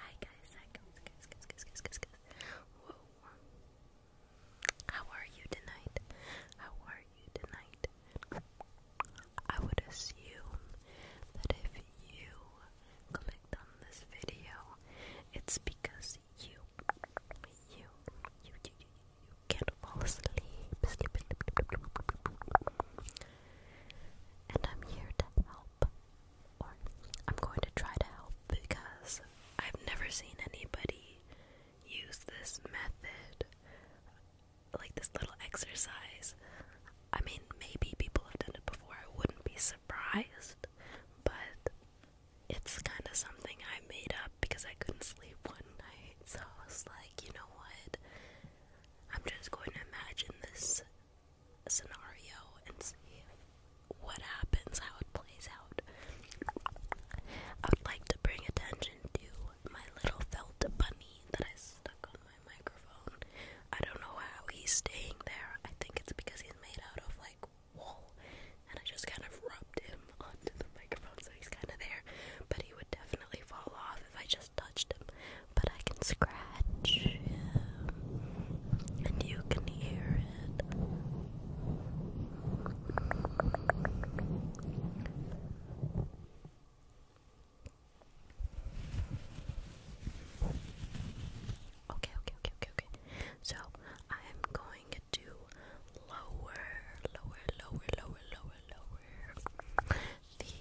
Hi guys, How are you tonight? How are you tonight? I would assume that if you clicked on this video, it's because you, you, you, you, you, you can't fall asleep and I'm here to help. Or I'm going to try to help because I've never seen anybody use this method, like this little exercise. I mean, maybe people have done it before, I wouldn't be surprised, but it's kind of something I made up because I couldn't sleep one night, so I was like, you know what? I'm just going to imagine this scenario and see what happens, how it plays out. I would like to bring attention to my little felt bunny that I stuck on my microphone. I don't know how he's staying there. I think it's because he's made out of like wool, and I just kind of rubbed him onto the microphone, so he's kind of there. But he would definitely fall off if I just touched him, but I can scratch him, and you can hear it. Okay, okay, okay, okay, okay. So I'm going to lower, lower, lower, lower, lower, lower the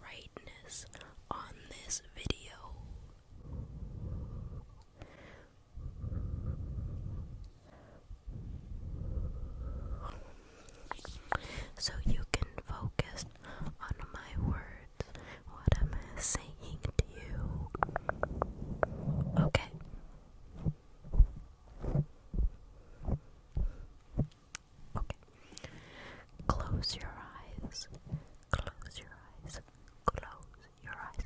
brightness on this video. So you can focus on my words, what i saying to you. Okay. Okay. Close your eyes. Close your eyes. Close your eyes.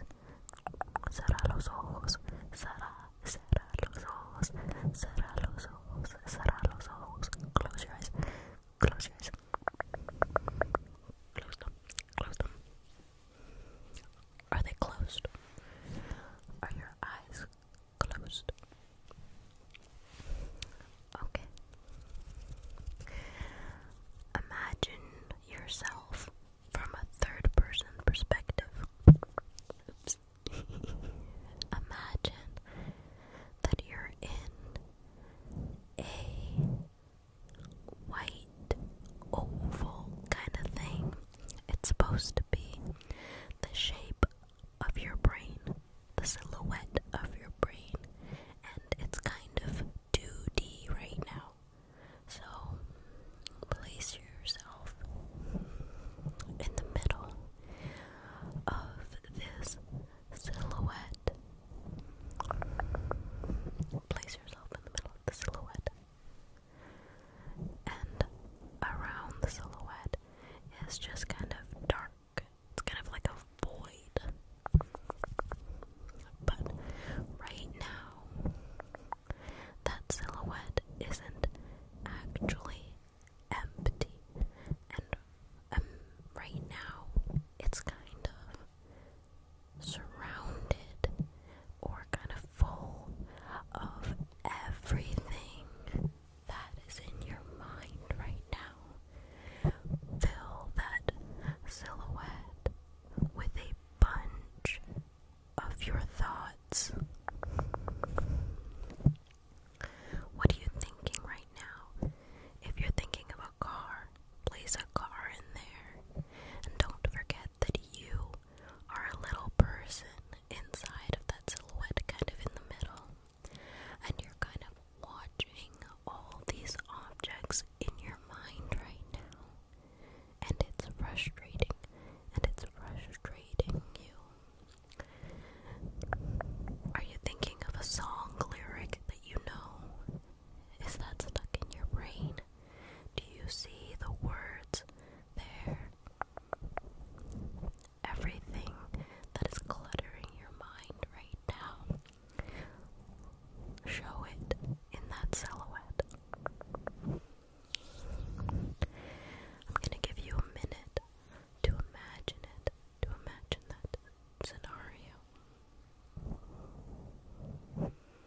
Cerra los ojos. Cerra, cerra los ojos. Cerra los ojos. Cerra los ojos. Close your eyes. Close your eyes. Close them. Close them. Are they closed? Are your eyes closed? Okay. Imagine yourself from a third person perspective. Imagine that you're in a white oval kind of thing it's supposed to be the shape of your brain, the silhouette of your brain, and it's kind of 2D right now. So place yourself in the middle of this silhouette. Place yourself in the middle of the silhouette and around the silhouette is just kind of dark. It's kind of like a void. But right now, that silhouette isn't actually empty. And um, right now, it's kind of surrounded or kind of full of everything that is in your mind right now. Fill that silhouette with a bunch of your thoughts. What are you thinking right now? If you're thinking of a car, place a car in there. And don't forget that you are a little person inside of that silhouette, kind of in the middle, and you're kind of watching all these objects in your mind right now, and it's frustrating, and it's frustrating you. Are you thinking of a song lyric that you know? Is that stuck in your brain? Do you see the words there? Everything that is cluttering your mind right now, show it in that silhouette. I'm going to give you a minute to imagine it, to imagine that scenario.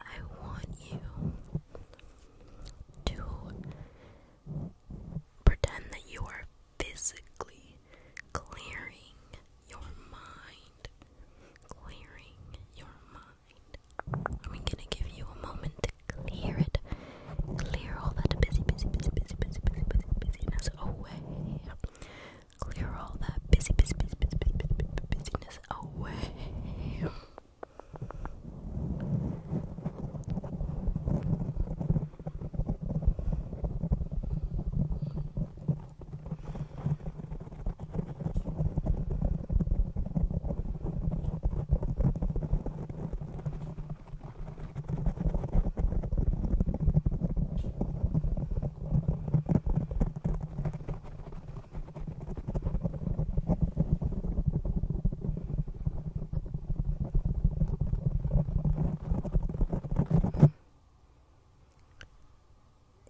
I want you to pretend that you are physically clearing your mind. Clearing your mind. I'm gonna give you a moment to clear it. Clear all that busy, busy, busy, busy, busy, busy, busy, busyness away clear all that busy, busy, busy, busy, busy, busy, busy busyness away.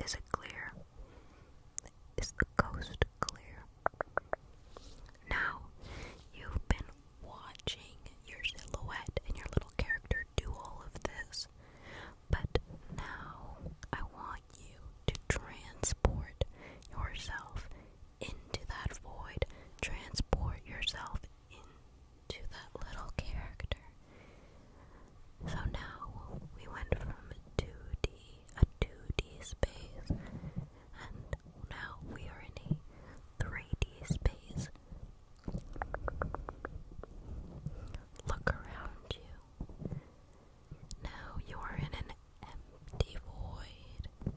Is it clear? Is the coast clear? Now you've been watching your silhouette and your little character do all of this. But now I want you to transport yourself into that void, transport yourself into that little character. So now we went from 2D, a 2D space, and now we are in a 3D space. Look around you. Now you are in an empty void.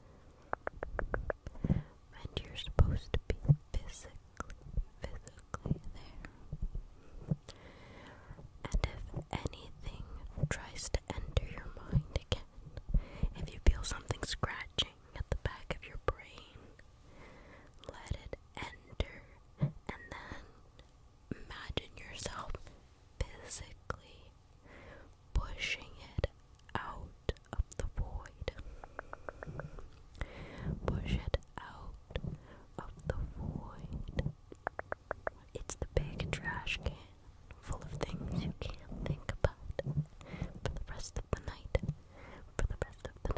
And you're supposed to be physically, physically there. And if anything tries to enter your mind again, if you feel something scratching at the back of your brain, let it enter, and then imagine yourself physically pushing it out of the void. Push it out of the void. It's the big trash can full of things you can't think about for the rest of the night. For the rest of the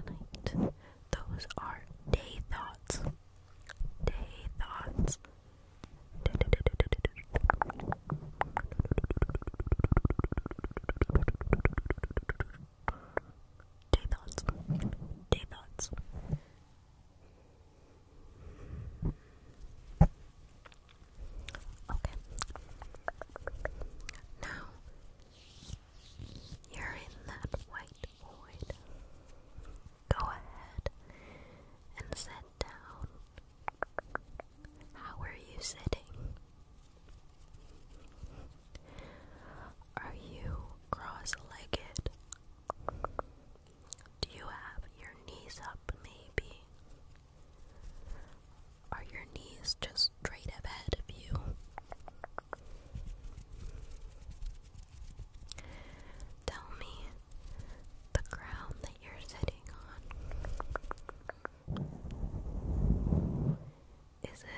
night. Those are day thoughts. Day thoughts. Day thoughts. Day thoughts. Okay. Now, you're in that white void. Go ahead and sit down. How are you sitting? Are you cross legged? Do you have your knees up, maybe? Are your knees just straight ahead of you? Tell me the ground that you're sitting on. Is it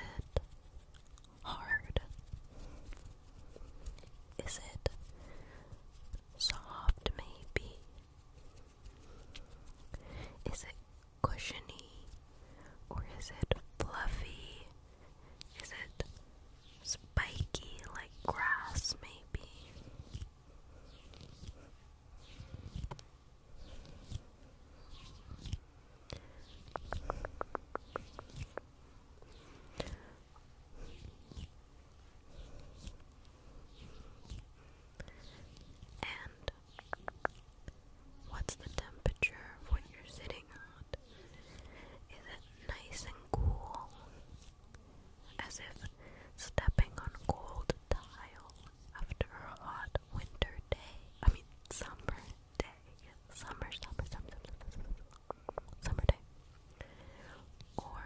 hard? Is it soft, maybe? Is it cushiony? Or is it fluffy? Is it spiky like grass, maybe? And what's the temperature of what you're sitting on? Is it nice and cool? As if stepping on cold tile after a hot winter day. I mean, summer day. Summer, summer, summer, summer, summer, summer day. Or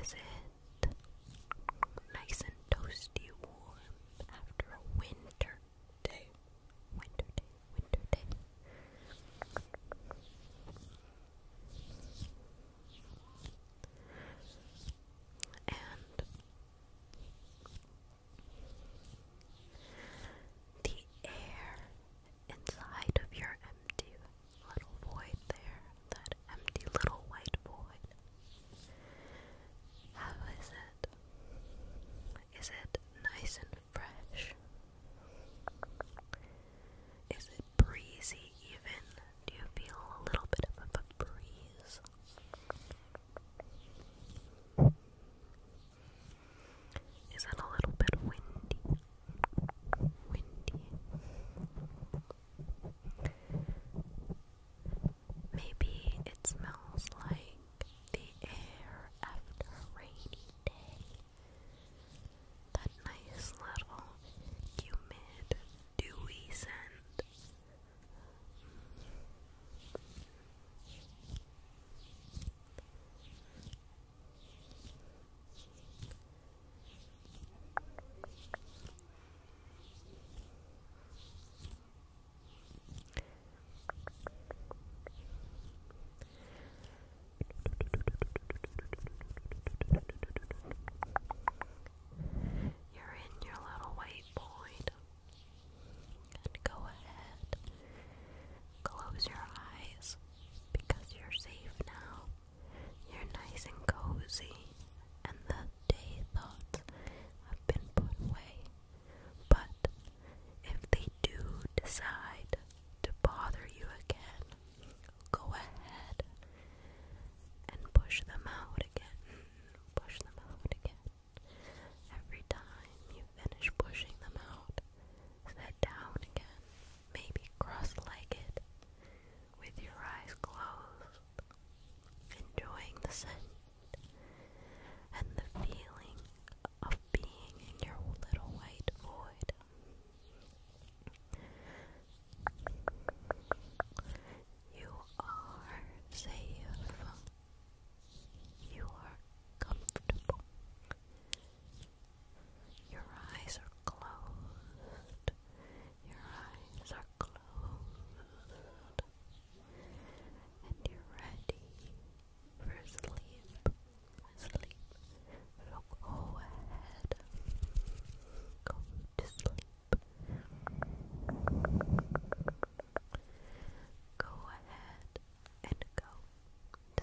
is it Nice and toasty warm after a winter day. Winter day, winter day. And the air inside of your empty little void there that empty little white void. How is it? Is it nice and fresh? Is it breezy even? Do you feel a little bit of a breeze? Is it a little bit windy? Windy. Maybe it smells like the air after a rainy day. That nice little humid, dewy scent. You're in your little waypoint. And go ahead. Close your eyes because you're safe now. You're nice and cozy, and the day thoughts have been put away. But if they do decide to bother you again, go ahead and push them out again. Push them out again. Every time you finish pushing them out, sit down again, maybe cross legged, with your eyes closed, enjoying the scent and the feeling of being in your little white void. You are safe. You are comfortable. Your eyes are closed. Your eyes are closed. And you're ready for sleep. Sleep. So go ahead. Go to sleep. Go ahead and go to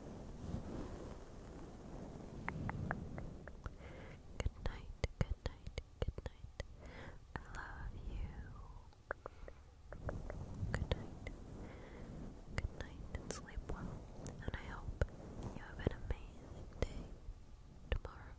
Good night, good night, good night. I love you. Good night. Good night sleep well. And I hope you have an amazing day tomorrow.